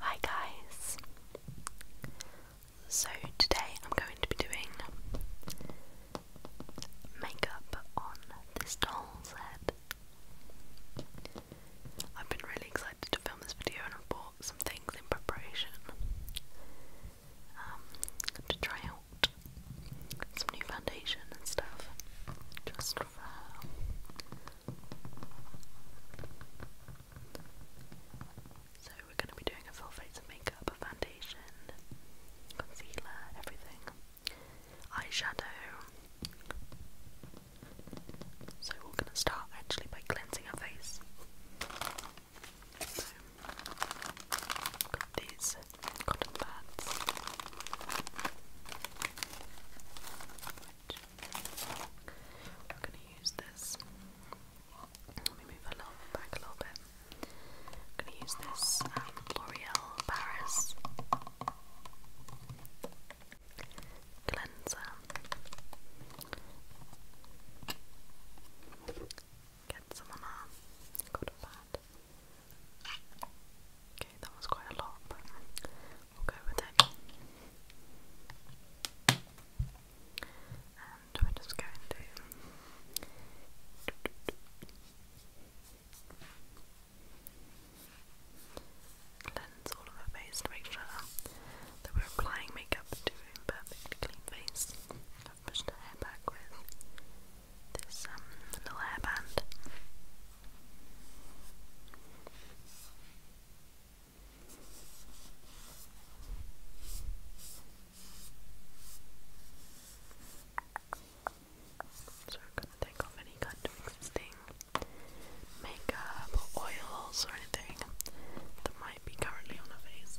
Hi guys! So today I'm going to be doing makeup on this doll's head. I've been really excited to film this video and i bought some things in preparation um, to try out some new foundation and stuff just for so we're going to be doing a full face of makeup, a foundation, concealer, everything, eyeshadow. So we're going to start actually by cleansing our face. So, got these cotton pads. We're going to use this. Let me move a little back a little bit. I'm going to use this um, L'Oreal Paris cleanser. Get some on our got a pad. Okay, that was quite a lot, We'll go with And we Cleanse all of her face to make sure that we're applying makeup to a perfectly clean face. I've pushed her hair back with this um, little hairband. So we're going to take off any kind of existing makeup oils or anything that might be currently on her face.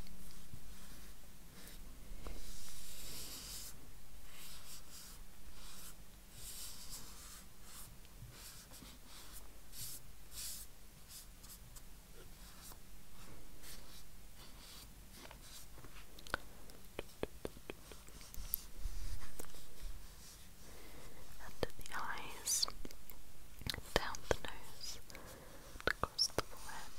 Under the eyes, down the nose, across the forehead,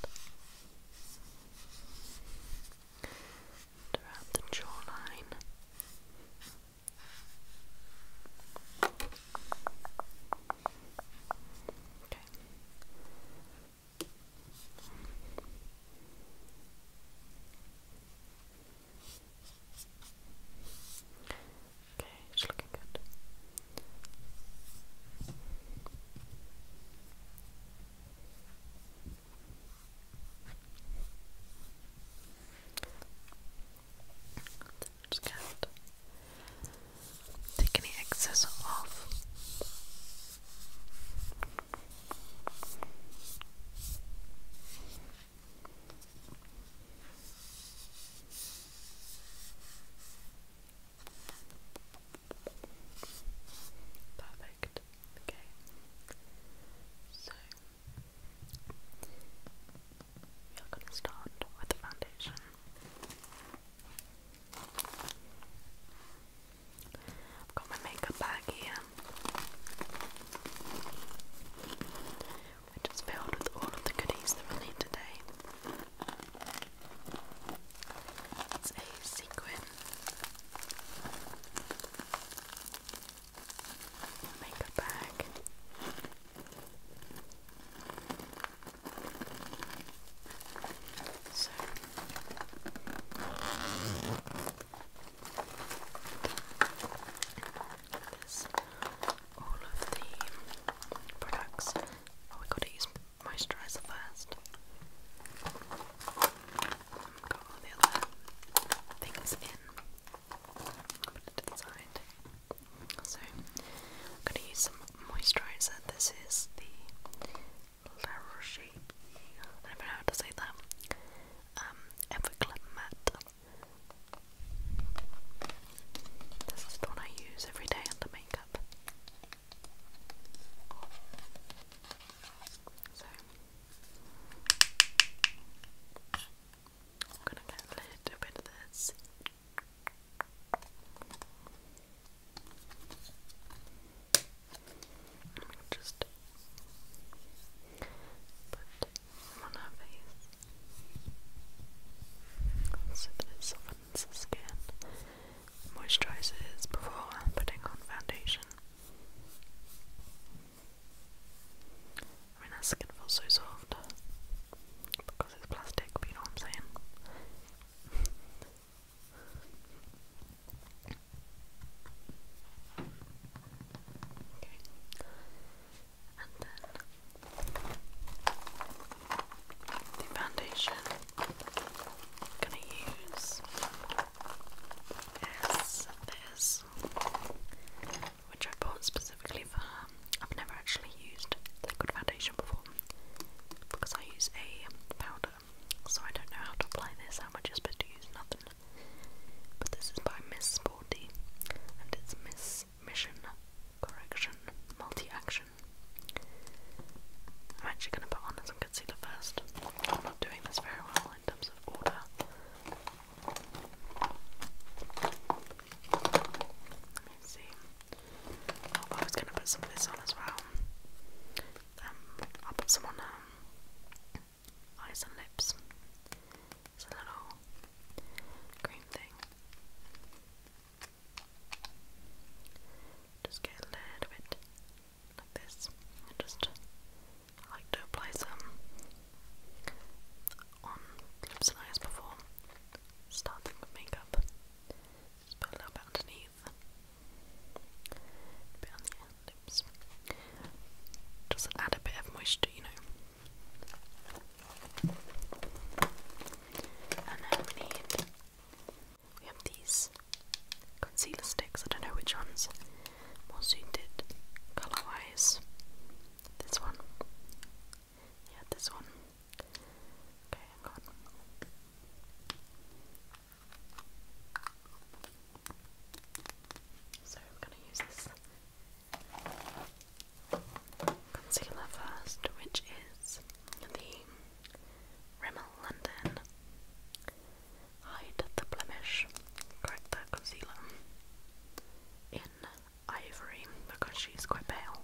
around the jawline, Okay. Okay, it's looking good take any excess off. Perfect. Okay. So you're going to start with the foundation. I've got my makeup bag here, which is filled with all of the goodies that we'll need today. It's a sequin makeup bag. So all of the products. Oh, we gotta use moisturizer first got all the other things in. Put it to the side. So, I'm going to use some moisturiser. This is the La Roche. I know how to say that. Um, This is the one I use every day under makeup. So. I'm gonna get a little bit of this. Just put on her face so that it softens the skin, moisturizes before putting on foundation. I mean, that skin feels so soft because it's plastic, you know what I'm saying. Okay. And then the foundation I'm gonna use is this which I bought specifically for her. I've never actually used liquid foundation before because I use a powder, so I don't know how to apply this, I'm just supposed to use, nothing. But this is by Miss Sporty and it's Miss Mission Correction Multi Action. I'm actually going to put on as some concealer first. I'm not doing this very well in terms of order. Let's see. Oh, I was gonna put some of this on as well. Um, I'll put some on um, eyes and lips. It's a little cream thing. Just get a little bit like this just I like to apply some on lips and eyes before starting with makeup. Just put a little bit underneath, bit on the lips. Just add a bit of moisture, you know. And then we need we have these concealer sticks. I don't know which ones more suited color wise. This one. Yeah, this one. Okay, hang on. So I'm gonna use this concealer first, which is the Rimmel London Hide the blemish. Correct that concealer. In ivory, because she's quite pale.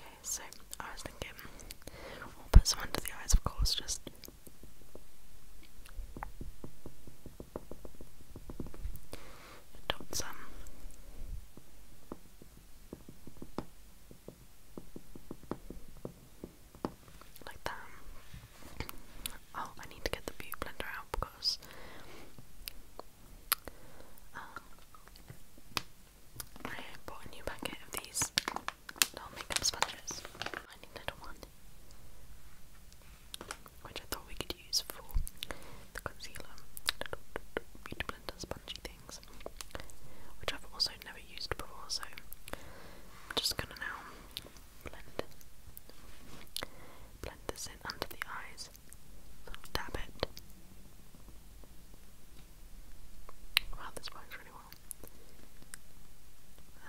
Okay, so I was thinking put some under the eyes, of course, just. Dot some. Like that. Oh, I need to get the beauty blender out because um, I bought a new packet of these little makeup sponges. I need a little one. Which I thought we could use for the concealer. Beauty blender sponge spongy things, which I've also never used before, so I'm just gonna now blend, blend this in under the eyes, dab it. Wow, this works really well.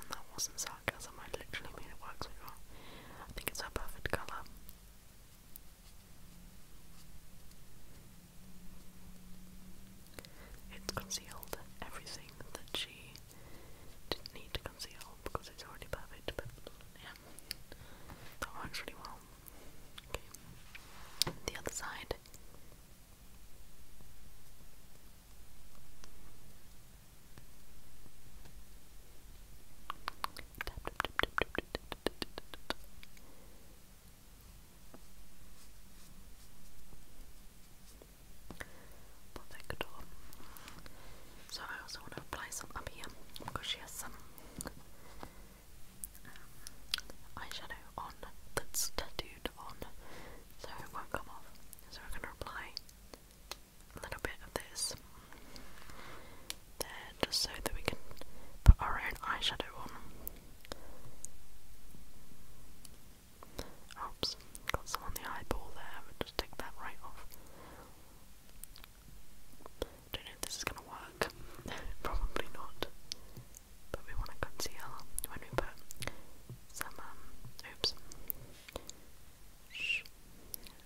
And that wasn't sarcasm, I literally made it work so well. I think it's her perfect colour. It's concealed everything that she didn't need to conceal because it's already perfect, but yeah, that works really well. Okay, the other side. Perfecto. So I also want to apply some up here because she has some um, eyeshadow on that's tattooed on, so it won't come off. So we're gonna apply a little bit of this there, just so that we can put our own eyeshadow on. Oops, got some on the eyeball there, just take that right off. Don't know if this is gonna work. Probably not. But we want to conceal when we put some um, oops.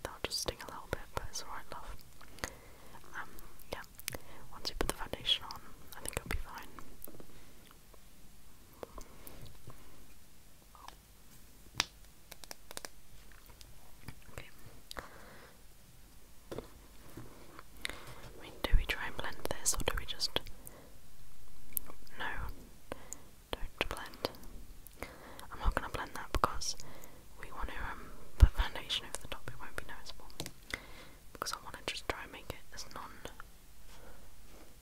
That'll just sting a little bit, but it's alright love. Um, yeah, once you put the foundation on, I think it'll be fine. Okay. do we try and blend this, or do we just... No, don't blend. I'm not going to blend that because we want to um, put foundation over the top, it won't be noticeable because I want to just try and make it as non.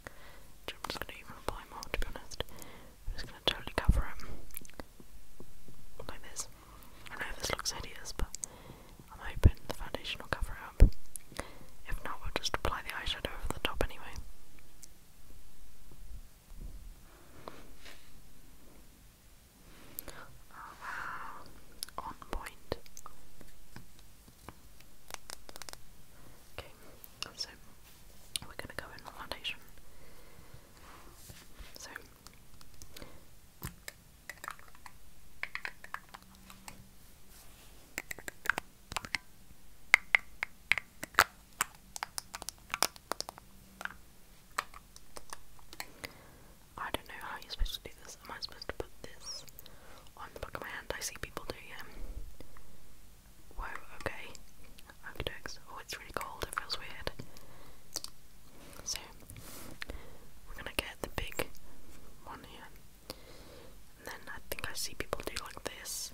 I'm just going to even apply more to be honest. I'm just going to totally cover it like this. I know this looks hideous, but I'm hoping the foundation will cover it up. If not, we'll just apply the eyeshadow over the top anyway. Oh uh, wow, on point. Okay, so we're gonna go in the foundation. So I don't know how you're supposed to do this. Am I supposed to put this on the back of my hand? I see people do, yeah. Whoa, okay. Architects. Oh, it's really cold. It feels weird. So, we're gonna get the big one here. then I think I see people do like this.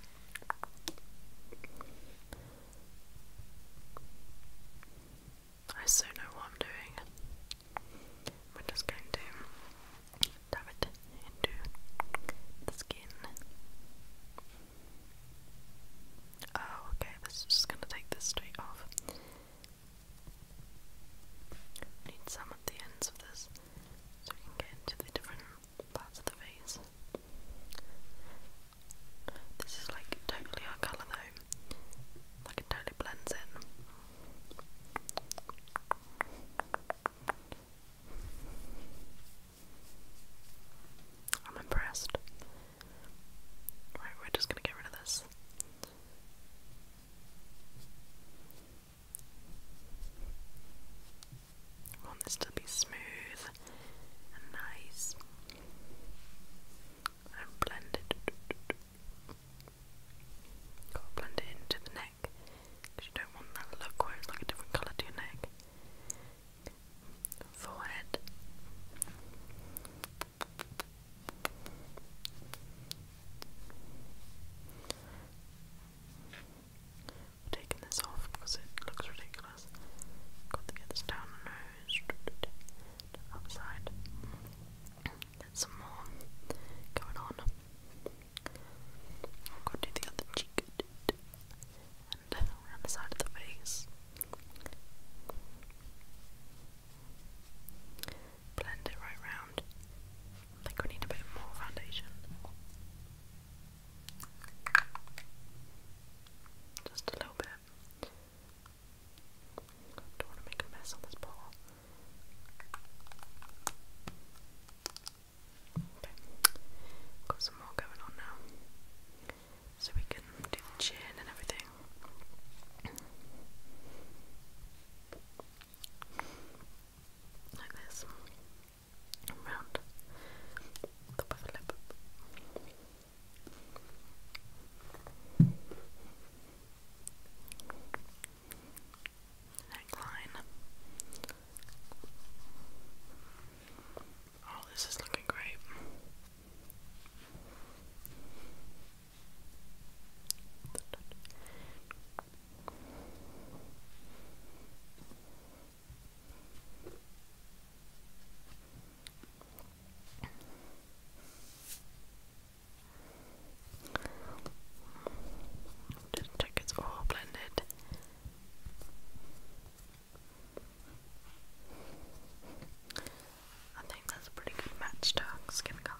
I so know what I'm doing. We're just going to dab it into the skin. Oh, okay, this is just going to take this straight off. Need some at the ends of this so we can get into the different parts of the face. This is like totally our colour though like it totally blends in. I'm impressed. Right, we're just gonna get rid of this. I want this to be smooth nice and blended. Gotta blend it into the neck because you don't want that look where it's like a different colour to your neck. Forehead. taking this off because it looks ridiculous. Got to get this down the nose, to the some more going on. I'll go do the other cheek and around the side of the face. Blend it right round. think we need a bit more foundation. Just a little bit. Don't want to make a mess on this ball. Okay, got some more going on now. So we can do the chin and everything. Like this. Around the top lip. Neckline. Oh, this is looking great. Just check it's all blended. I think that's a pretty good match to her skin colour.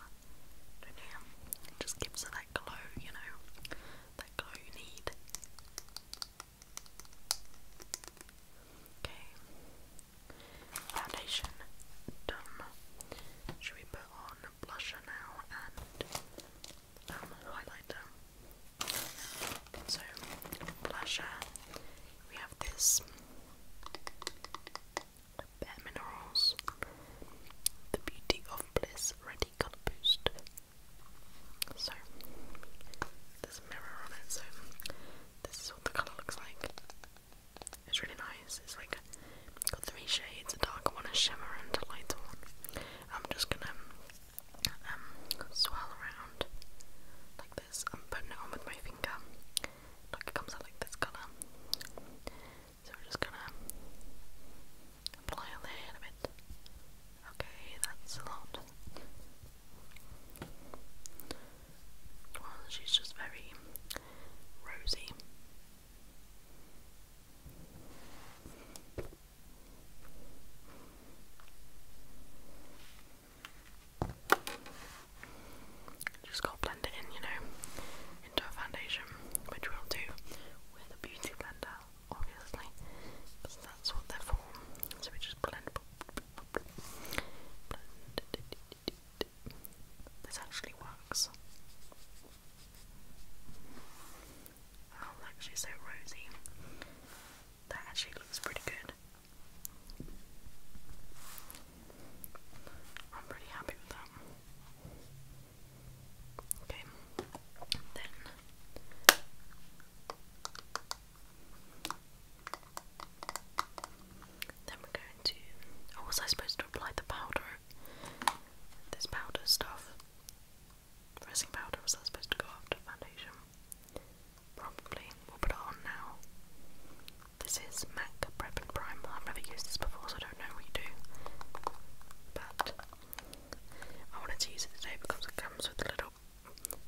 just gives that glow, you know, that glow you need. Okay. Foundation done. Should we put on blusher now and um, highlighter? So, blusher, we have this Bare Minerals, the Beauty of Bliss Ready Colour Boost. So, there's mirror so this is what the colour looks like. It's really nice. It's like got three shades, a dark one, a shimmer, and a lighter one. I'm just gonna um swirl around like this. I'm putting it on with my finger. Like it comes out like this colour. So we're just gonna apply a bit. Okay, that's a lot. Well, she's just very rosy. Just gotta blend it in, you know, into a foundation, which we'll do with a beauty blender, obviously, because that's what they're for. So we just blend, this actually works. Oh, look, she's so rosy. That actually looks pretty good. I'm pretty happy with that. Okay, then then we're going to. Oh, was I supposed to apply the powder? This powder stuff. Pressing powder, was that supposed to go after foundation? Probably. We'll put it on now. This is MAC Prep and Prime. I've never used this before, so I don't know what you do. But I wanted to use it today because it comes with a little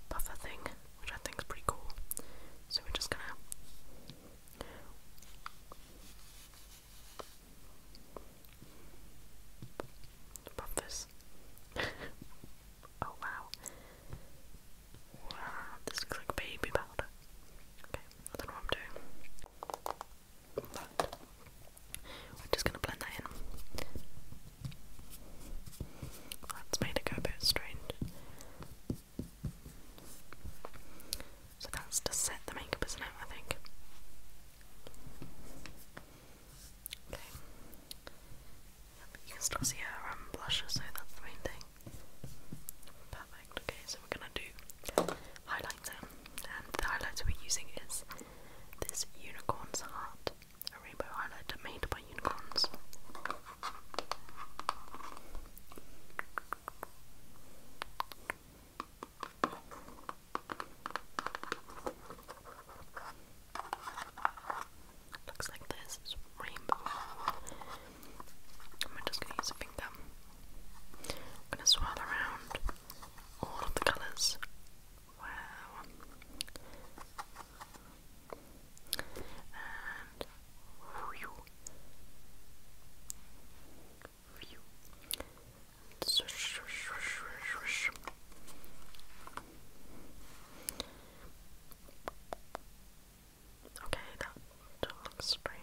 buffer thing, which I think is pretty cool. So we're just gonna Pop this. oh wow. Wow, this looks like baby powder. Okay, I don't know what I'm doing. we're just gonna blend that in. That's made it go a bit strange. So that's to set the makeup, as not it? I think. Okay. You can still see her um, so that's the main thing. Perfect. Okay, so we're gonna do highlighter, and the highlighter we're using is this unicorn's heart, a rainbow highlighter made by unicorns. Looks like this rainbow. I'm just gonna use a finger. I'm gonna swirl around all of the colours. Wow. Okay, that, looks pretty.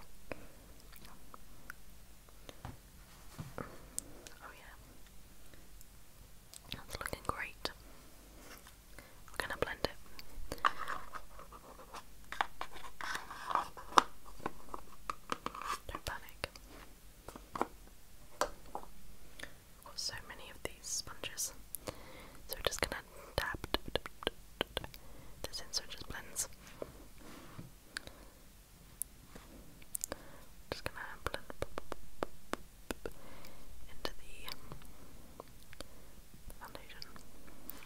Oh yeah, that's looking great. We're gonna blend it. Don't panic. I've got so many of these sponges. So we're just gonna tap this in just blends. Just gonna blend into the foundation.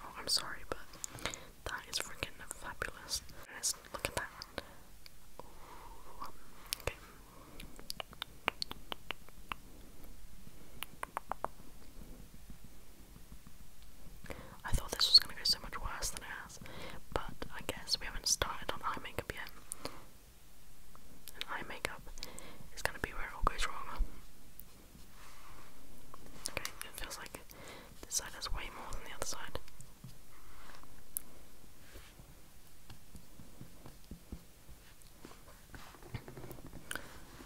Oh, I'm sorry, but that is freaking fabulous. look at that. okay. I thought this was gonna go so much worse than it has, but I guess we haven't started on eye makeup yet. eye makeup is gonna be where it all goes wrong. Okay, it feels like this side has way more than the other side.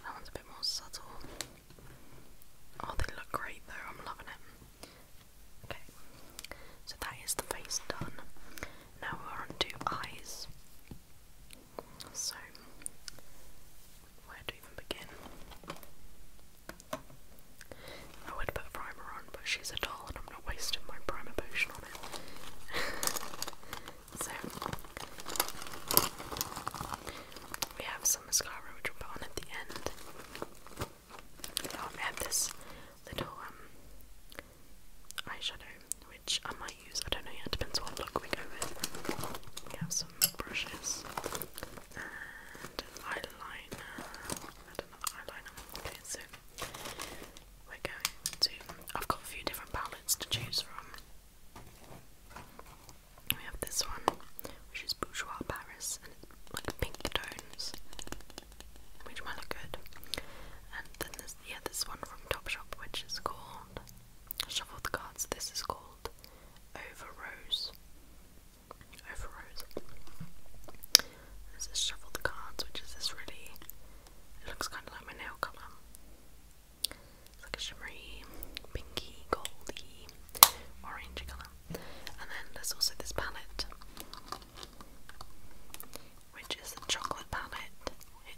That one's a bit more subtle. Oh, they look great though, I'm loving it. Okay, so that is the face done. Now we're on eyes. So, where to even begin? I would put primer on, but she's a doll and I'm not wasting my primer potion on it. so, we have some mascara which we put on at the end. Um, I have this little um, eyeshadow which I might use. I don't know yet, depends what look we go with. We have some brushes eyeliner. another eyeliner. Okay, so we're going to. I've got a few different palettes to choose from. We have this one, which is Bourgeois Paris, and it's like pink tones, which might look good. And then there's yeah, this one from Topshop, which is called Shuffle the cards. This is called Overrose. Rose. This is Shuffle the Cards, which is this really. It looks kind of like my nail colour. It's like a shimmery, pinky, goldy, orange colour. And then there's also this palette, which is the chocolate palette.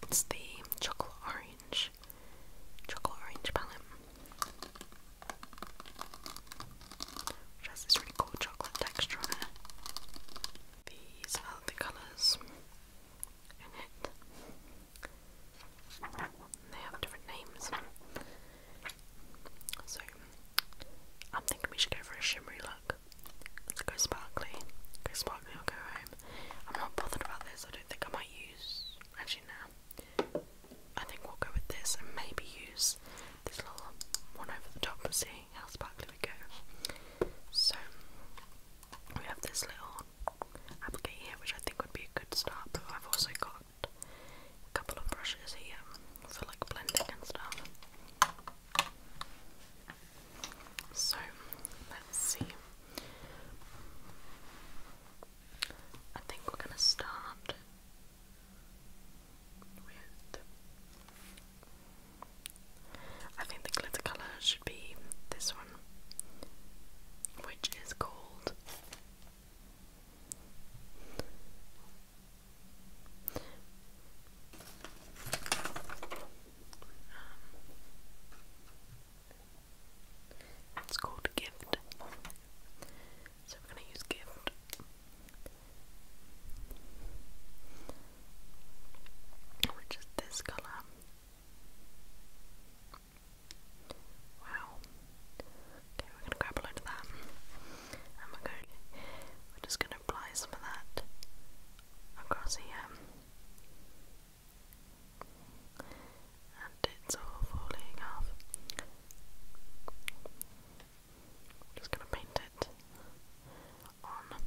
It's the chocolate orange chocolate orange palette. Which has this really cool chocolate texture on it. These are the colours in it. They have different names. So I'm thinking we should go for a shimmery look. go sparkly. Go sparkly go home. I'm not bothered about this, I don't think I'm use actually no. I think we'll go with this and maybe use this little one over the top and see how sparkly we go. So we have this little applicator here which I think would be a good start but I've also got a couple of brushes here for like blending and stuff. So let's see. I think we're going to start I think the glitter colour should be this one, which is called. It's called gift. So we're going to use gift. Which is this colour. Wow. Okay, we're gonna grab a load of that. And we're going we're just gonna apply some of that across here and it's all falling off. just gonna paint it on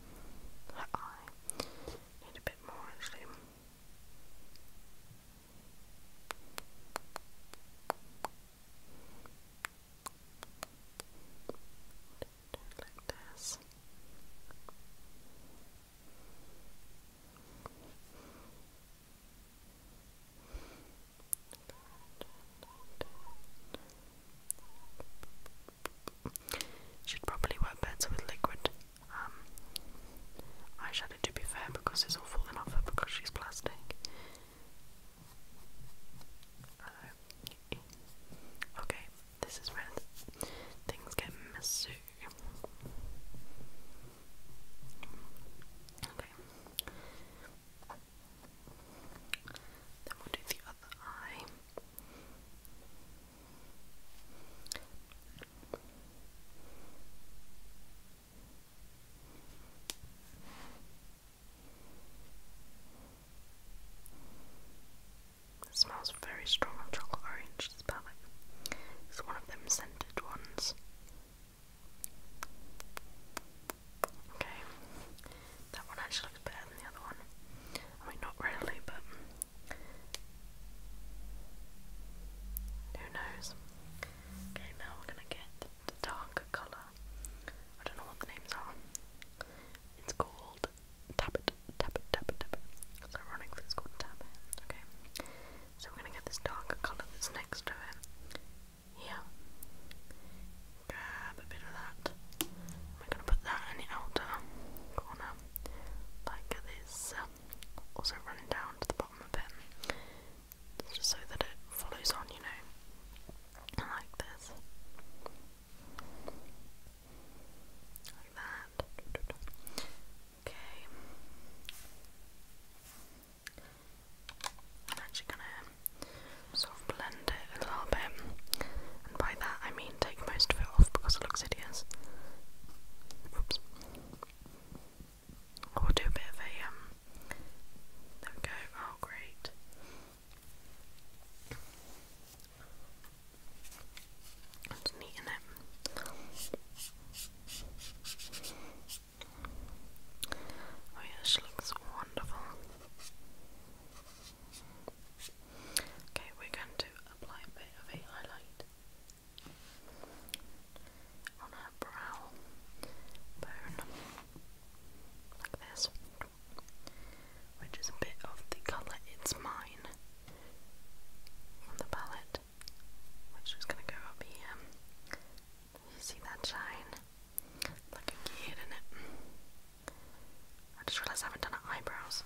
her eye. Need a bit more actually. like this. Should probably work better with liquid um, eyeshadow to be fair because it's all falling off her because she's plastic. Uh, okay, this is where things get messy. Okay. Then we'll do the other eye. It smells very strong of chocolate orange, it's perfect. It's one of them scented ones. Okay, that one actually looks better than the other one. I mean, not really, but who knows? Okay, now we're gonna get the darker colour. I don't know what the names are. It's called tap it, tap it, tap it, tap it. It's ironic that it's called tap it, okay? So we're gonna get this darker colour that's next to it. Here. Grab a bit of that. We're gonna put that in the outer corner, like this. Also running down to the bottom of it. Just so that it follows on, you know. Like this. Like that. Okay. I'm actually gonna sort of blend it a little bit, and by that I mean take most of it off because it looks hideous. Oops. Or do a bit of a um. There we go. Oh, great. It's neat in it. Oh yeah, she looks wonderful. Okay, we're going to apply a bit of highlight on her brow bone, like this which is a bit of the colour It's Mine from the palette, which is going to go up here. You see that shine? Looking cute, is it? I just realised I haven't done eyebrows.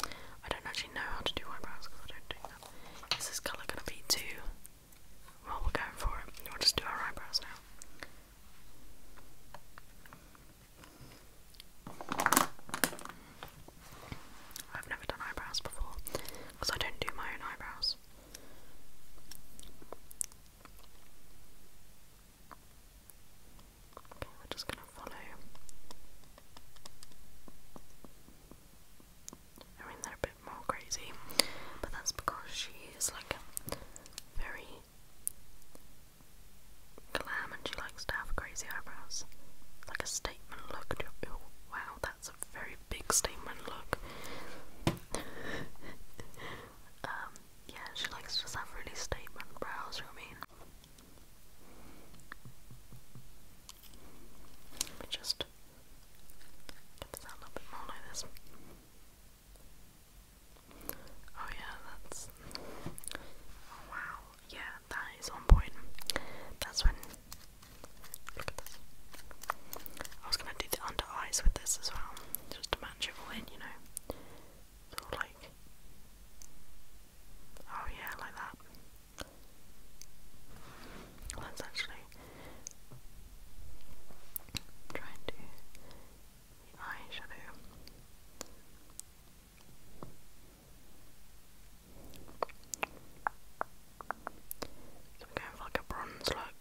I don't actually know how to do eyebrows because I don't do that. Is this colour going to be too... Well, we're going for it. We'll just do our eyebrows now. I've never done eyebrows before because I don't do my own eyebrows. Okay, we're just gonna follow. I mean, they're a bit more crazy, but that's because she is like very glam and she likes to have crazy eyebrows. It's like a statement look. Oh, wow, that's a very big statement look. um, yeah, she likes to just have really statement brows, you know what I mean? Let me just get this out a little bit more like this. Oh yeah, that's oh, wow. Yeah, that is on point. That's when look at this. I was gonna do the under eyes with this as well, just to match it all in, you know. So like Oh yeah, like that. let actually try and do the so we're like a bronze look,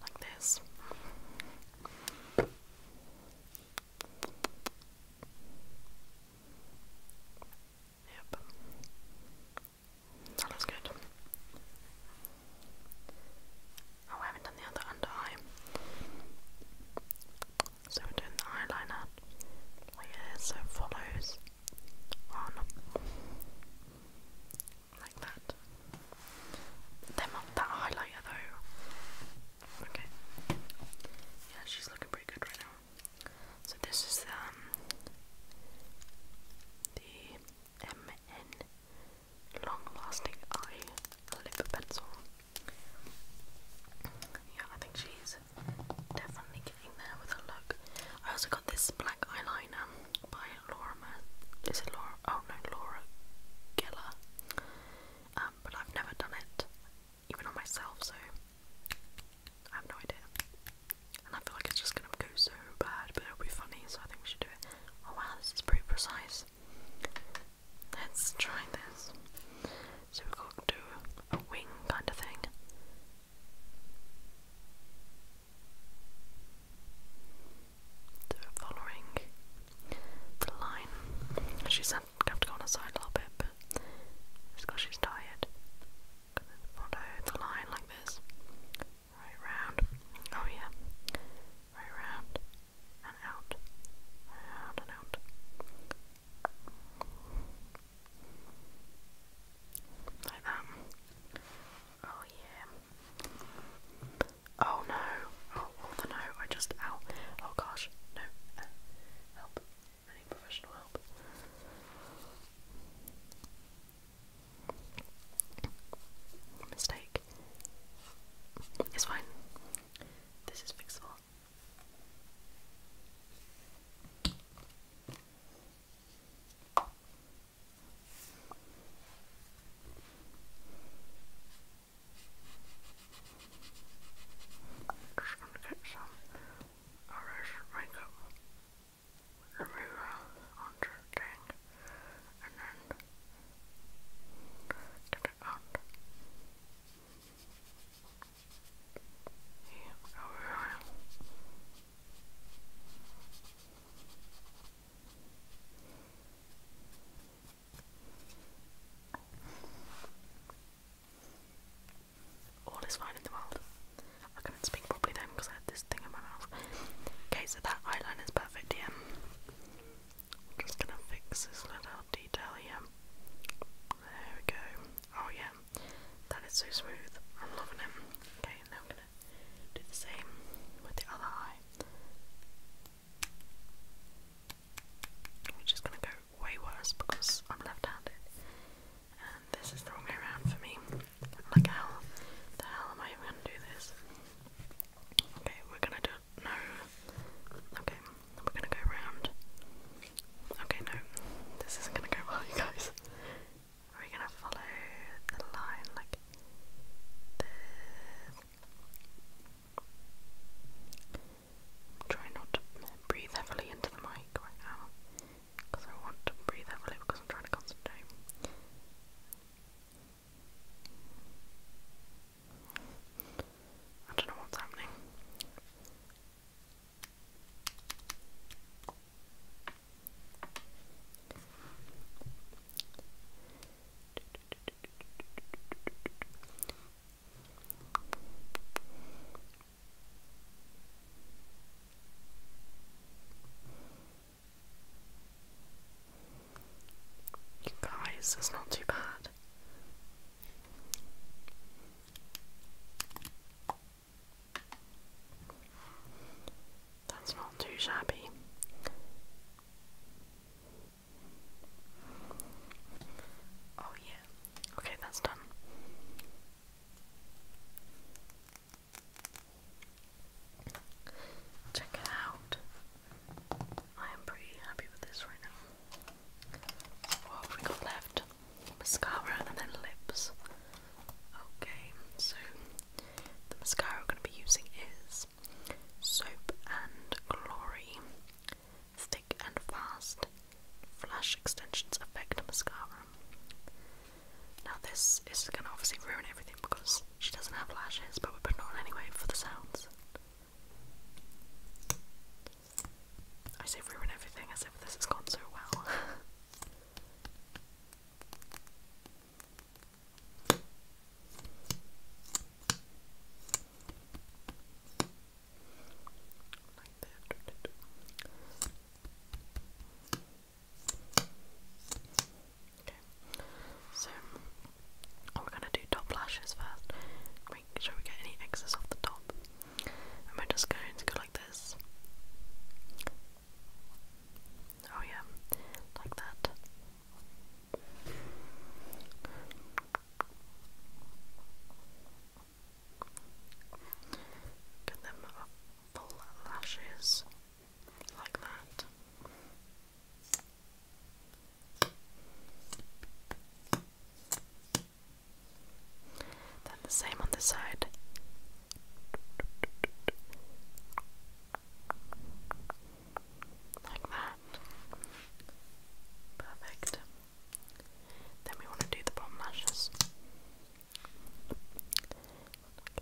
like this. Yep. That looks good. Oh, I haven't done the other under eye. So we're doing the eyeliner like oh, this, so it follows on like that. Them up that highlighter though. Okay. Yeah, she's looking pretty good right now. So this is um, the MN long lasting eye lip pencil. Yeah, I think she's definitely getting there with her look. I also got this black eyeliner by Laura. This Is Laura? Oh no, Laura Geller. Um, but I've never done it, even on myself, so I have no idea. And I feel like it's just gonna go so bad, but it'll be funny, so I think we should do it. Oh wow, this is pretty precise. Let's try this. So we're going to do a wing kind of thing. So following the line. She's going have to go on her side a little bit, but because she's tired. Follow the line like this. Right round. Oh yeah. Right round and out, and out. Like that. Oh yeah. Oh no. Oh, all the no. I just, ow. Oh gosh. No. help. I professional help. Mistake. It's fine. This is fixable. I'm just going to get some Irish makeup remover onto the thing and then Turn it on. Yeah, All is fine in the world. I couldn't speak properly then because I had this thing in my mouth. Okay, so that eyeliner's perfect, yeah. I'm just gonna fix this little detail here. There we go. Oh yeah, that is so smooth. I'm loving it. Okay, now I'm gonna do the same with the other eye. Which is gonna go way worse because I'm left-handed. And this is the wrong way around for me. Like how the hell am I even gonna do this? Okay, we're gonna do do Okay, we're gonna go round. Okay, no, this isn't gonna go well, you guys. Are we gonna follow the line like this? Try not to breathe heavily into the mic right now because I want to breathe heavily because I'm trying to concentrate. I don't know what's happening. You guys, it's not too bad. That's not too shabby. Oh, yeah. Okay, that's done. Check it out. I am pretty happy with this right now. What have we got left? Mascara and then lips. Okay, so the mascara we're going to be using is Soap and Glory Thick and Fast Flash Extensions Effect Mascara. Now, this is going to obviously ruin everything because she doesn't have lashes, but we're putting on anyway for the sounds. I say ruin everything as if this has gone so well. like that. Okay. So oh, we're gonna do top lashes first. Make sure we get any excess off the top. And we're just going to go like this. Oh yeah, like that. Get them full lashes like that. Then the same on the side. Like that. Perfect. Then we want to do the bottom lashes.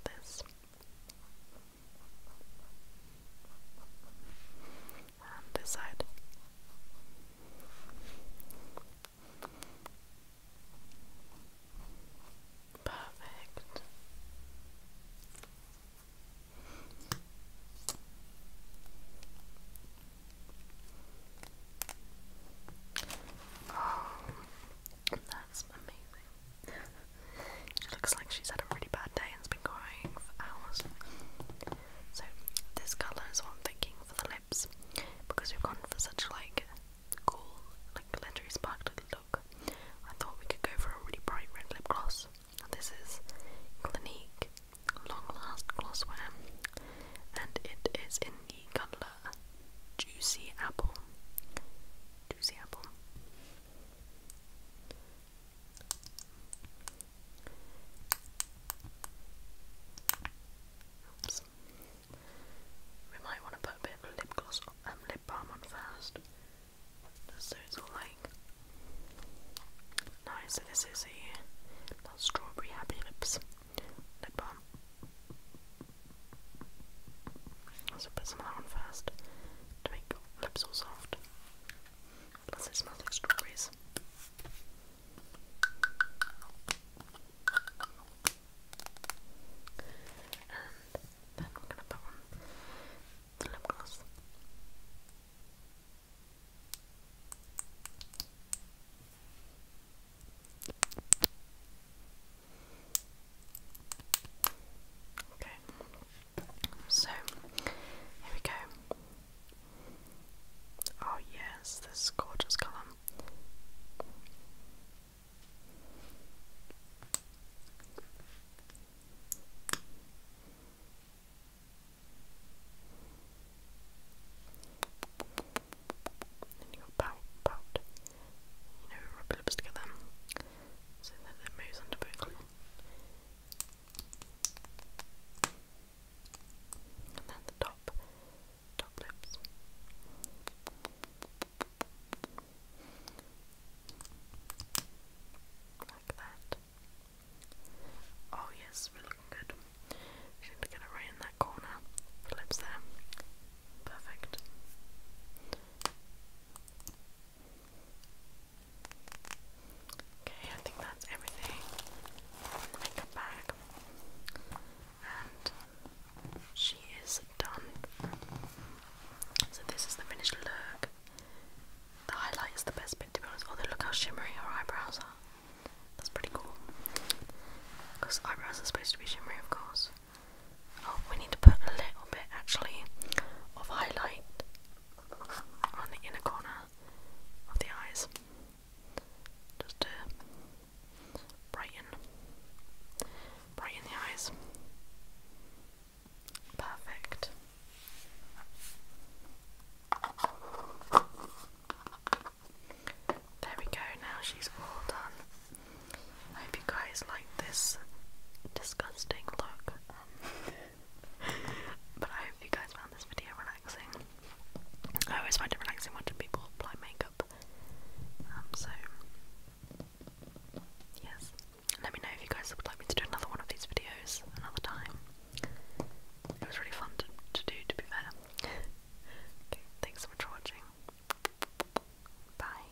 this. And this side. Perfect. Oh, that's amazing. She looks like she's had a really bad day and's been crying for hours. So this colour is what I'm thinking for the lips because we've gone for such like cool, like glittery sparkly look. I thought we could go for a really bright red lip gloss. this is Clinique Long Last Glossware and it is in the colour Juicy Apple. Juicy Apple. We might want to put a bit of lip gloss and um, lip balm on first. so it's all like nice. So this is a strawberry happy lips lip balm. So put some on first to make lips all soft. Plus it smells like strawberries. And then we're gonna put on the lip gloss. Okay. So here we go. Oh yes, this gorgeous colour. Then you got pout, pout. You know, rub your lips together so that it moves under both. And then the top, top lips. Like that. Oh yes, we're looking We get it right in that corner. lips there. Perfect. Okay, I think that's everything in the makeup bag. And she is done. So this is the finished look. The highlight is the best bit to be honest. Although look how shimmery her eyebrows are. That's pretty cool. Because eyebrows are supposed to be shimmery of course. Oh, we need to put a little bit actually of highlight on the inner corner of the eyes just to brighten brighten the eyes perfect there we go now she's all done hope you guys like this disgusting look but I hope you guys found this video relaxing. I always find it relaxing watching people apply makeup. Um, so, yes. Let me know if you guys would like me to do another one of these videos another time. It was really fun to, do, to be fair. thanks so much for watching. Bye.